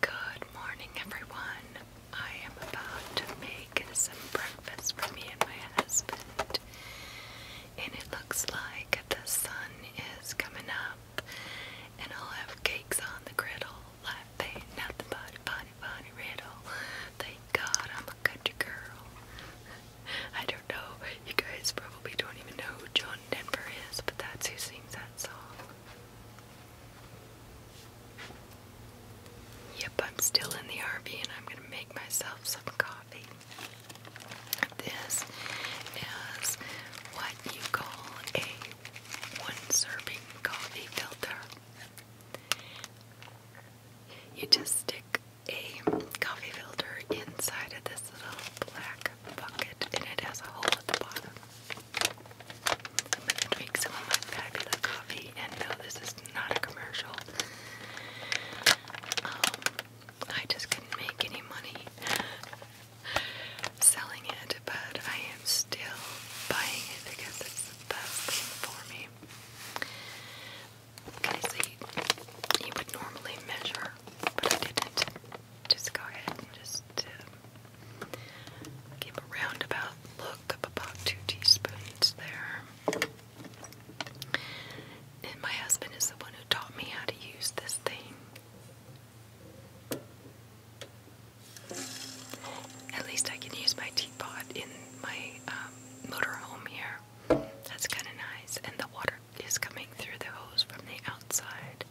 Good morning, everyone. I am about to make some breakfast for me and my husband, and it looks like the sun is coming up, and I'll have cakes on the griddle. Latte, nothing but a bunny riddle. Thank God I'm a country girl. I don't know. You guys probably don't even know who John Denver is, but that's who sings that song. Yep, I'm still in the RV and I'm going to make myself some coffee. This is what you call a one serving coffee filter you just stick a coffee filter inside of this little black bucket and it has a hole at the bottom. I'm going to drink some of my fabulous coffee and no, this is not a commercial. Um, I just couldn't make any money selling it, but I am still buying it because it's best for me. Okay, so you, would normally measure, but I didn't. Just go ahead and just uh, give a roundabout look of about two teaspoons there. And my husband is the one who taught me how to use this thing. At least I can use my teapot in my um, motorhome here. That's kind of nice. And the water is coming through the hose from the outside.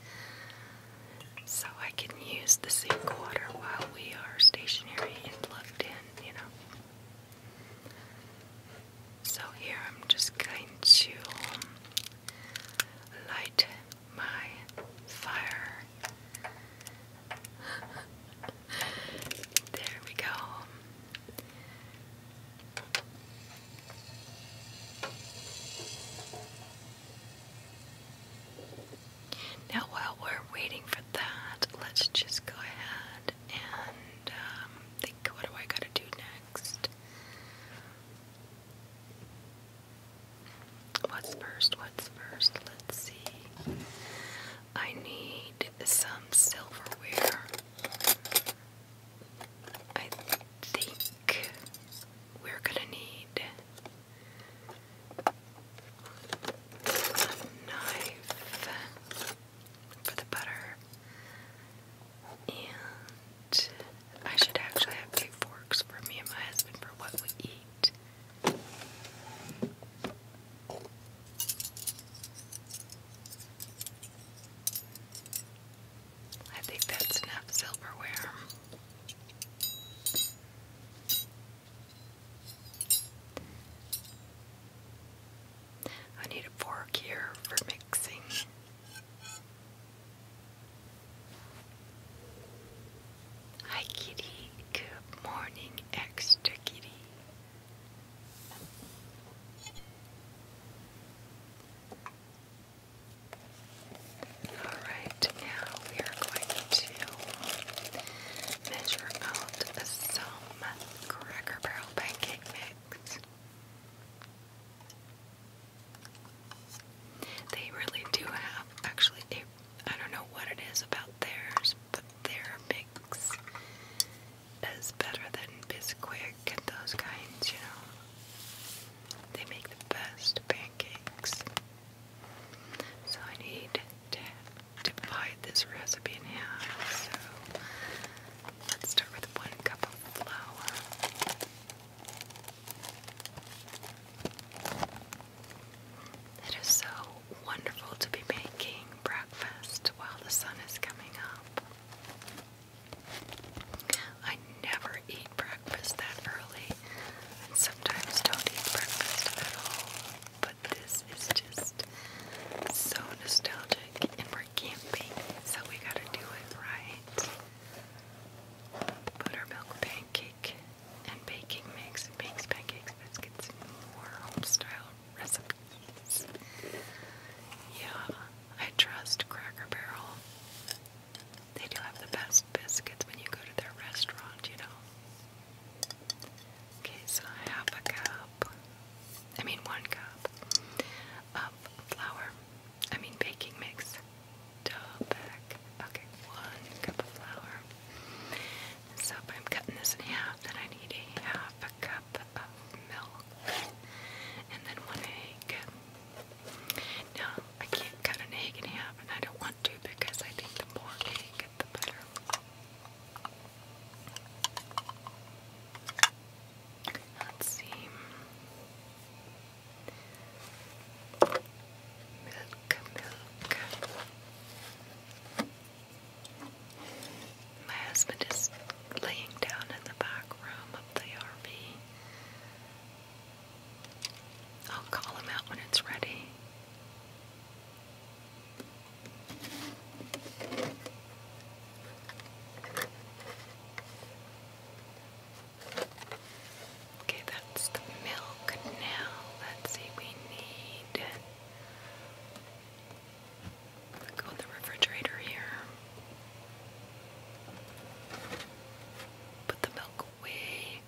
So I can use the same water while we are stationary and plugged in, you know. So here I'm just going to um, light my fire. there we go. Now, while we're waiting for that, let's just go ahead and um, think what do I gotta do next? What's first? What's first? Let's see. I need some silverware. I think we're gonna need a knife for the butter. And I should actually have two forks for me and my husband for what we eat. I think that's enough silverware. I need a fork here for mixing. Hi, kitty. Good morning, extra kitty. All right, now we are going to measure out some Cracker Barrel pancake mix. They really do have actually I I don't know what it is about theirs, but they're big flakes is better than Bisquick and those kinds, you know. They make the best pancakes. So I need to divide this recipe in half. So let's start with one cup of flour. It is so wonderful to be making breakfast while the sun is coming up. I never eat breakfast that early and sometimes don't eat breakfast at all. But this is just so nostalgic and we're camping, so we gotta do it right. Buttermilk pancake and baking mix, bakes pancakes, biscuits, more home style yeah, I trust Cracker Barrel. They do have the best biscuits when you go to their restaurant, you know. Okay, so I a cup, I mean one cup, of flour, I mean baking mix. Double back. Okay, one cup of flour. So I'm cutting this in half, and I need a half a cup of milk and then one egg. Now, I can't cut an egg in half, and I don't want to because I think the more egg, the better. Let's see. Milk, milk. My husband is laying down in the back room of the RV. I'll call him out when it's ready. Okay, that's the milk now. Let's see, we need Go in the refrigerator here. Put the milk away.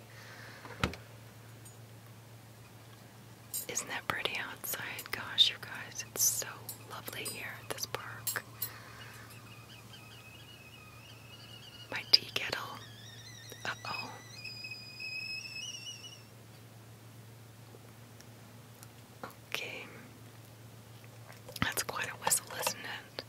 Isn't that pretty outside? Gosh, you guys, it's so lovely here at this park. My tea kettle. oh. Okay. That's quite a whistle, isn't it?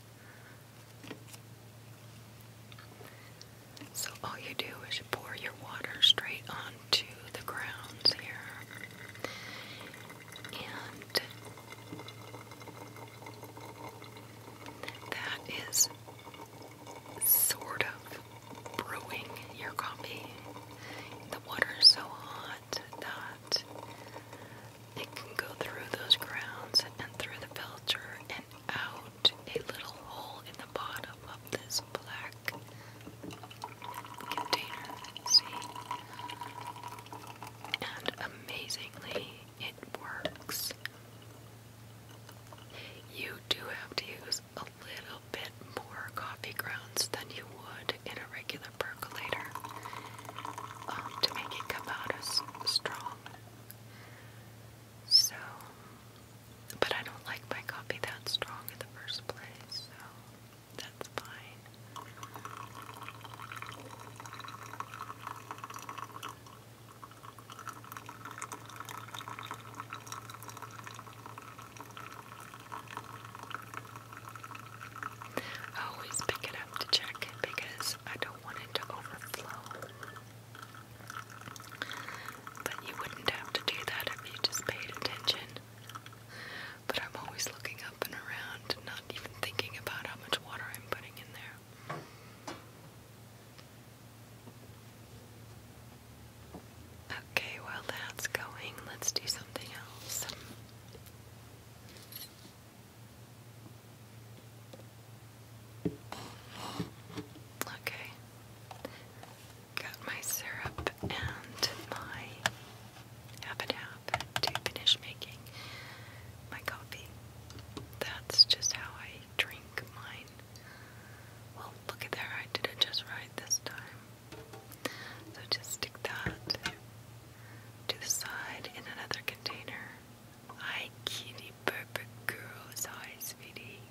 So, all you do is you pour your water straight onto the grounds here. And that is sort of brewing your coffee. The water so hot that it can go through those grounds and through the filter and out a little hole in the bottom of this black container. See? And amazingly, it works. You do have to use a a little bit more coffee grounds than you would in a regular percolator um, to make it come out as strong. So, but I don't like my coffee that strong in the first place, so that's fine. I always pick it up to check it because I don't want it to overflow. But you wouldn't have to do that if you just paid attention. But I'm always looking up and around, not even thinking about how much water I'm putting in there. Okay, well that's going, let's do something else. Okay, got my syrup and my habit hab to finish making my coffee. That's just how I drink mine. Well, look at there, I did it just right this time. So just stick that to the side in another container. Hi, kitty, perfect girl. Hi, sweetie.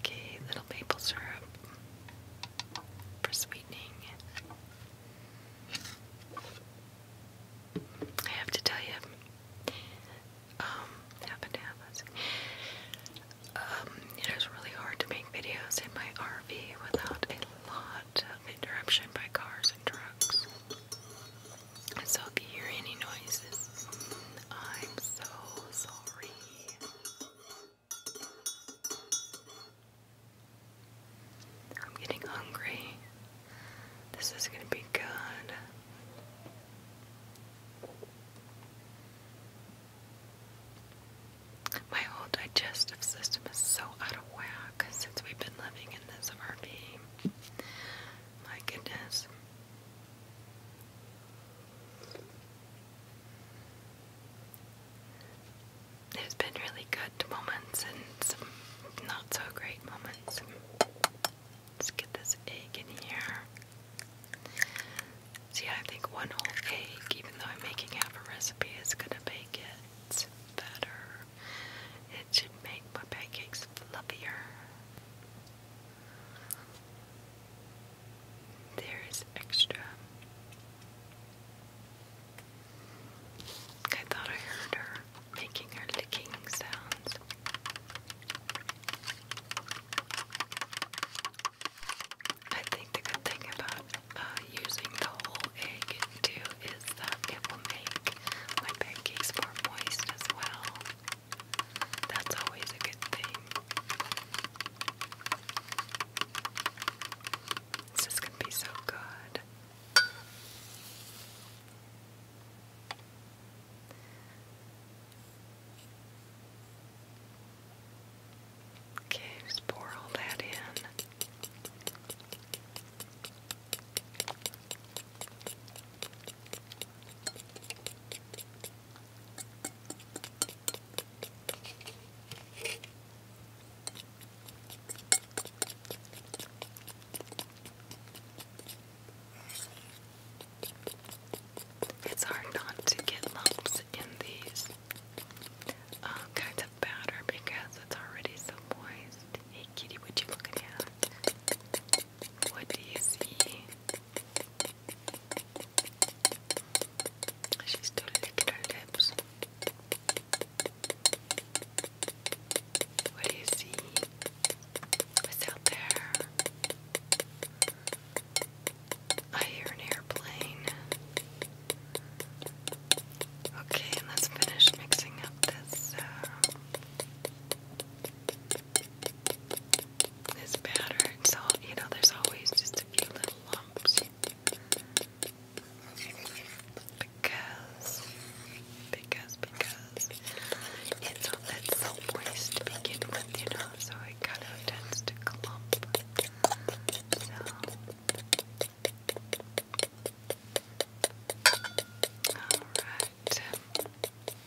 Okay, little maple syrup for sweetening. I have to tell you, um, happened to um, really hard to make videos in my RV without a lot of interruption by cars and trucks. so if you hear any noises, I'm so sorry. I'm getting hungry. This is going to be good. My whole digestive system is so out of whack since we've been living in this RV. My goodness there's been really good moments and some not so great moments. Let's get this egg in here. See, I think one whole egg, even though I'm making half a recipe, is gonna make it better. It should make my pancakes fluffier. There is extra. I thought I heard her making her licking sounds. I think the good thing about uh, using the whole egg too is that it will make my pancakes more moist as well. That's always a good thing. This is gonna be so good. Okay, just pour all that in. It's hard not to get lumps in these uh, kinds of batter because it's already so moist. kitty, what you looking at? What do you see? She's still licking lips. What do you see? What's out there? I hear an airplane. Okay, let's finish mixing up this uh, this batter. So you know, there's always just a few little lumps. Because, because, because it's all that so moist begin with, you know, so it kind of tends to clump. alright,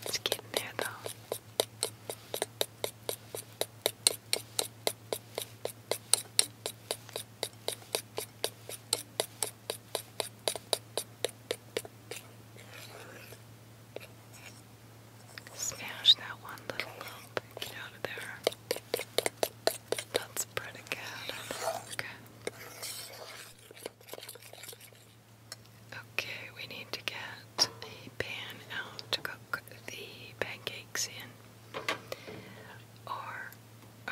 it's getting there though. Smash that one little lump. Get out of there. That's pretty good. Okay. Okay, we need to get a pan out to cook the pancakes weeks in?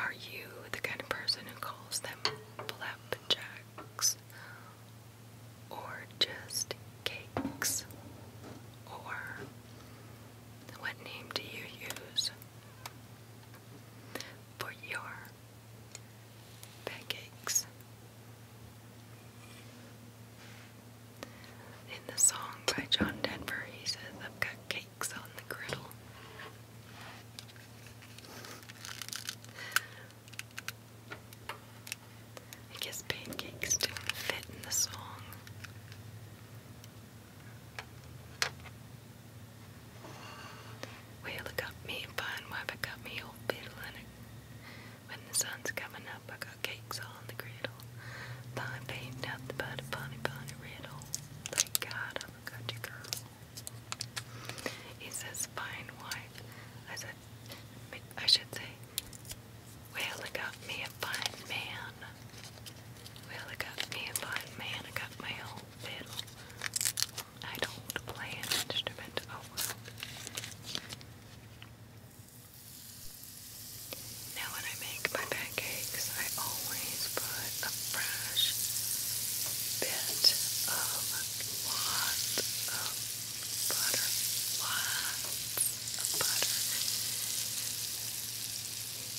are you the kind of person who calls them flapjacks? Or just cakes? Or what name do you use for your pancakes? In the song by John Denver, he says, I've got on the griddle. I guess pancakes didn't fit in the song. Well, it got me a fine wife, it got me old fiddle in When the sun's coming up, I got cakes on the griddle by painting out the body, bunny, bunny riddle. Thank God I'm a country girl. He says, fine wife. I said, I should say, well, I got me a fine man. Well, I got me a fine man. I got my own fiddle. I don't play an instrument. Oh, well. Now when I make my pancakes, I always put a fresh bit of lots of butter. Lots of butter.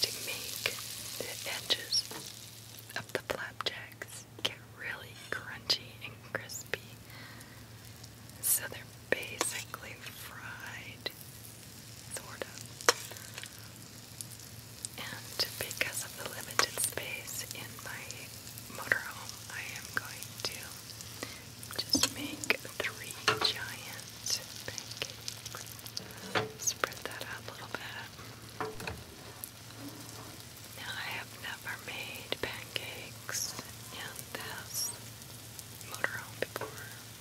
To make the edges of the flapjacks get really crunchy and crispy. So they're basically fried it, sort And because of the limited space in my motorhome, I am going to just make three giant pancakes. Spread that out a little bit. Now, I have never made pancakes in this motorhome before.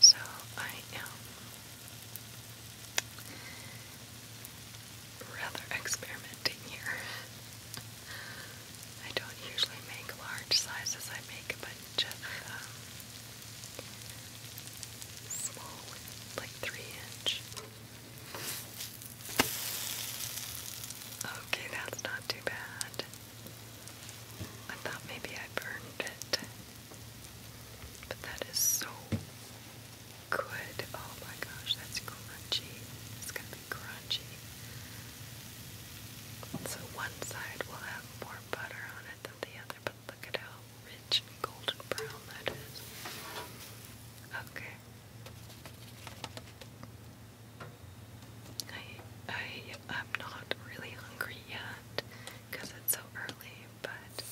So I am rather experimenting here. I don't usually make large sizes, I make a bunch of um, small, like three inch. Okay, that's not too bad. I thought maybe I burned it. But that is so good. Oh my gosh, that's crunchy. It's gonna be crunchy. So one side will have more butter on it than the other, but look at how rich and golden brown that is. Okay. I, I am not really hungry yet because it's so early, but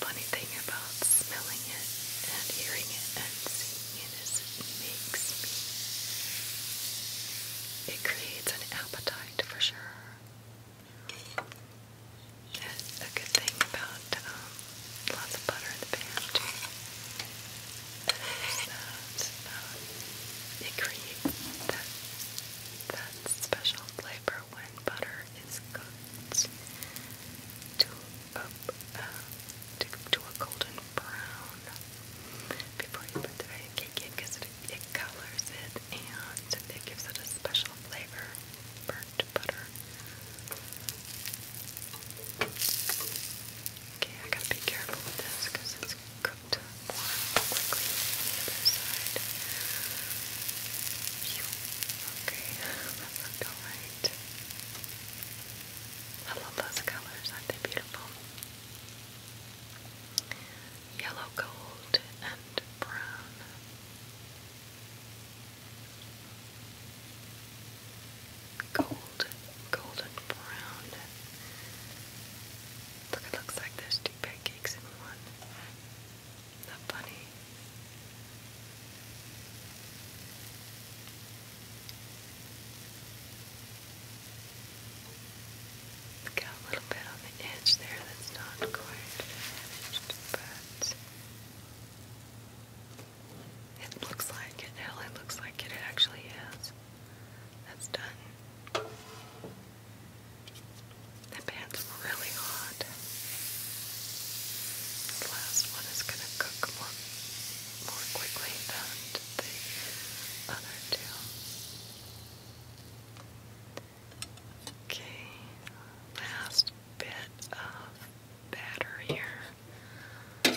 funny thing about smelling it and hearing it and seeing it is it makes me, it creates an appetite for sure. And a good thing about um, lots of butter in the it creates that, that special flavor when butter is cooked to a, to, a golden brown before you put the cake in because it, it colors it and it gives such a special flavor, burnt butter. Okay, I gotta be careful with this because it's cooked more quickly the other side. Okay, that looked alright. I love those colors, aren't they beautiful? Yellow, gold, and brown. Gold golden brown. Look, it looks like there's two pancakes in one. Isn't that funny? Got a little bit on the edge there that's not quite finished, but it looks like it. Hell, it looks like it actually is. That's done. That pan's really hot. The last one is gonna cook more more quickly than the other two. Okay, last bit of batter here.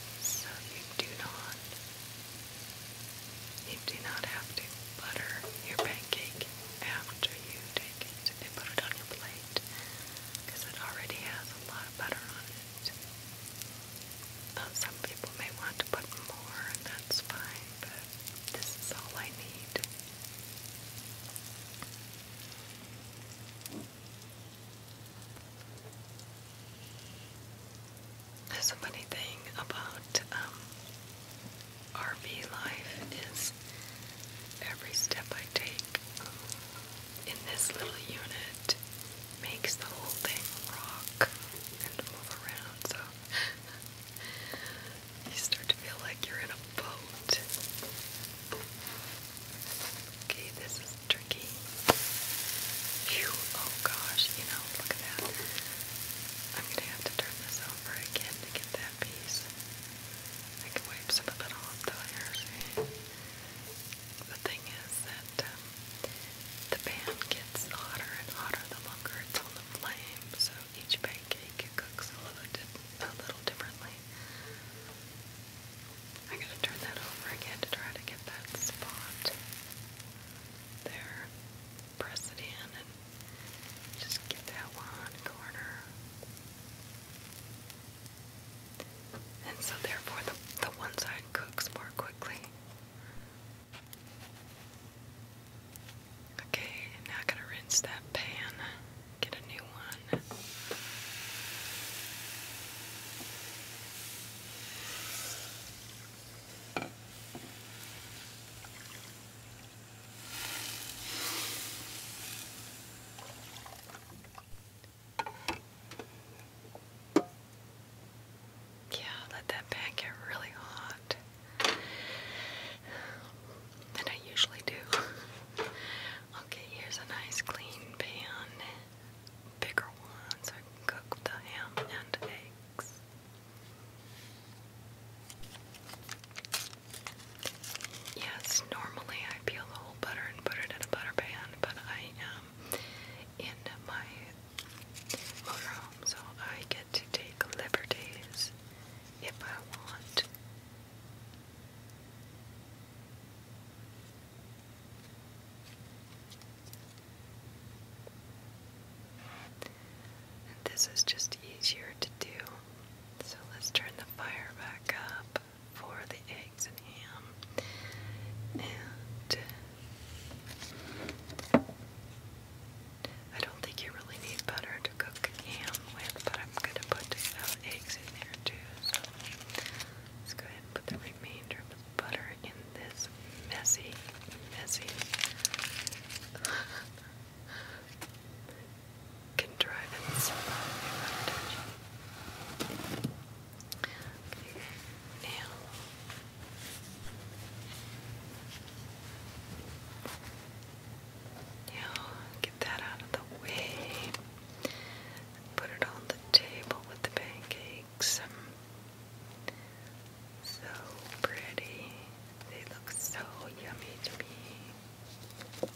So you do not you do not have to butter your pancake after you take it and put it on your plate because it already has a lot of butter on it. Uh, some people may want to put more and that's fine, but this is all I need. That's funny thing about um, RV life is every step I take um, in this little unit makes the whole thing rock and move around. So you start to feel like you're in a boat. Okay, this is tricky. oh gosh, you know, look at that. I'm gonna have to turn this over again to get that piece. I can wipe some of it off though, here. The thing is that um, the pan gets hotter and hotter the longer it's on the flame, so each pancake cooks a little, a little differently. I'm gonna turn that over again to try to get that spot there. Press it in and just get that one corner. And so therefore the, the one side cooks more quickly. Okay, now gonna rinse that pan get a new one. Yeah, let that pan get really hot. And I usually do. Okay, here's a nice clean pan, bigger one, I cook the ham and eggs. Yes, normally I peel the whole butter and put it in a butter pan, but I am in my motorhome, so I get to take liberties if I want. And this is just easier to do. So let's turn the fire back up for the eggs and ham. And I don't think you really need butter to cook ham with, but I'm going to put uh, eggs in there too. So Let's go ahead and put the remainder of the butter in this messy, messy, contrivance butter Okay, now. Now, get that out of the way. Put it on the table with the pancakes. So pretty. They look so yummy to me.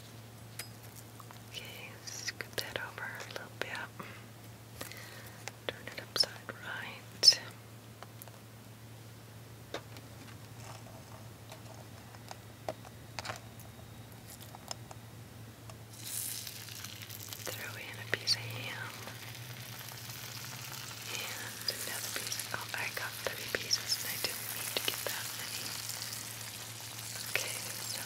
Okay, scoop that over a little bit. Turn it upside right. Throw in a piece of ham and another piece. Oh, I got three pieces and I didn't mean to get that many. Okay, so.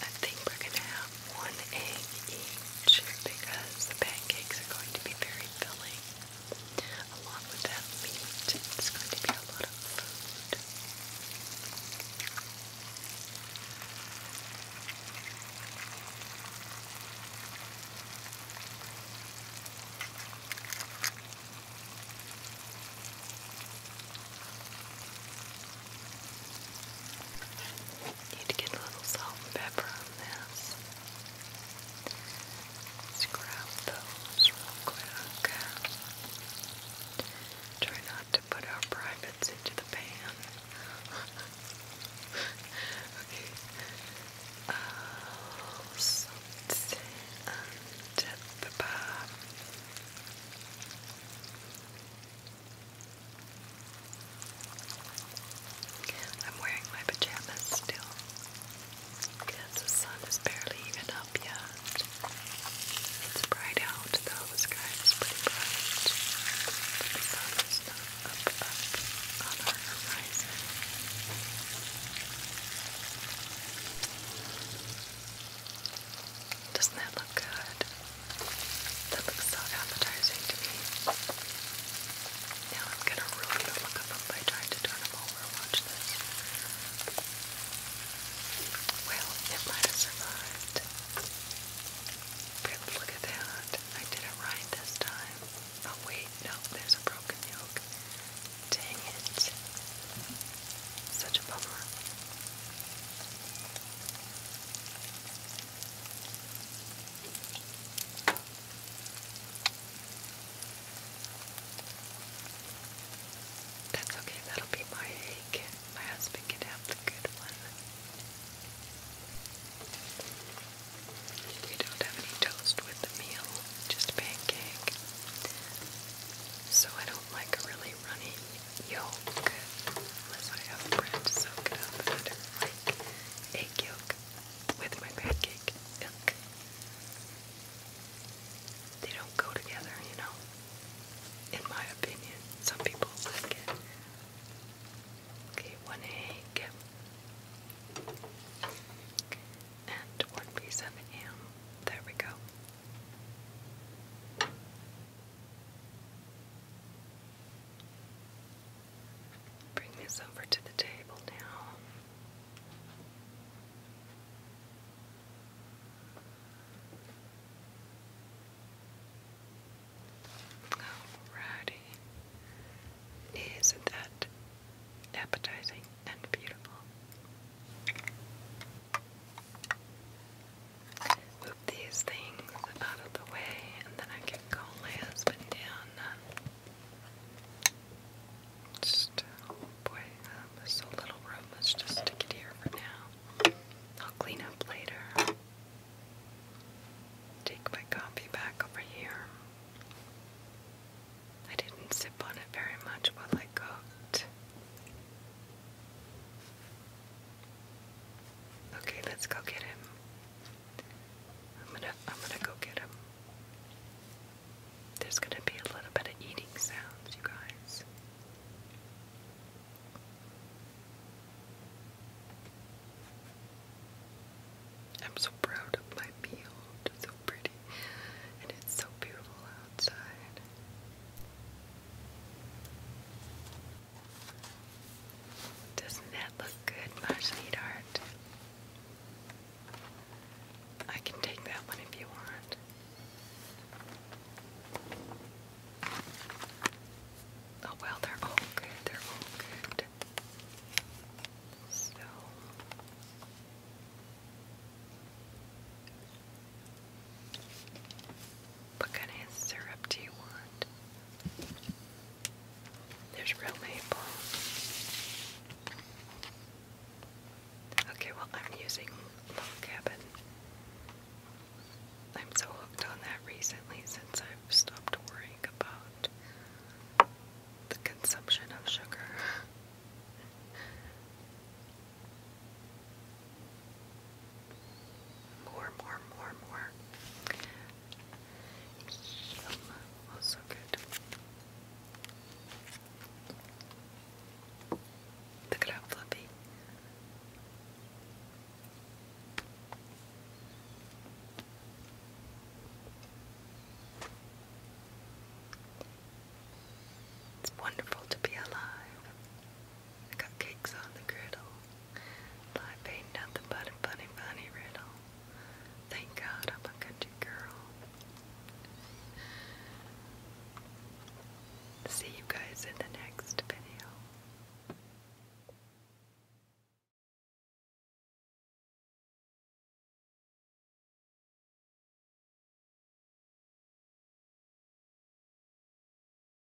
I think we're going to have one egg each much because the pancakes are going to be very filling. Along with that meat, it's going to be a lot of food. Need to get a little salt and pepper grab this. Let's grab those real quick. Try not to put our privates into the pan. okay. Uh, salt and pepper. I'm wearing my pajamas still because the sun is barely even up yet. It's bright out though, the sky pretty bright. Doesn't that look good? That looks so appetizing to me. Now I'm gonna ruin the look of them by to turn them over. Watch this. Well, it might have survived. look at that. I did it right this time. Oh wait, no, there's a broken yolk. Dang it. Such a bummer. That's okay, that'll be my egg. My husband can have the good one. You don't have any toast with the meal, just pancake. So I don't like a really runny yolk unless I have bread to soak it up, egg yolk with my pancake milk. They don't go together, you know. In my opinion, some people like it. Okay, one egg and one piece of ham. There we go. Bring this over to the table now. Alrighty. Isn't that appetizing and beautiful? move these things out of the way and then I can call my husband down. Just, oh boy, um, there's little room. Let's just stick it here for now. I'll clean up later. Take my coffee back over here. I didn't sip on it very much while I cooked. Okay, let's go get him. I'm gonna I'm gonna go get him. There's gonna be a little bit of eating sounds, you guys. I'm so proud of my meal. It's so pretty. And it's so beautiful outside. Doesn't that look good, my sweetheart? I can take that one if you want. Oh well, they're all good. They're all good. So what kind of syrup do you want? There's real maple. Okay, well, I'm using Log Cabin. I'm so hooked on that recently since I've stopped worrying about the consumption of sugar. More, more, more, more. Also oh, good. Look at how fluffy. It's wonderful to be alive. Cupcakes on the griddle. Life ain't nothing but a funny, funny riddle. Thank God I'm a country girl. See you guys in the next video.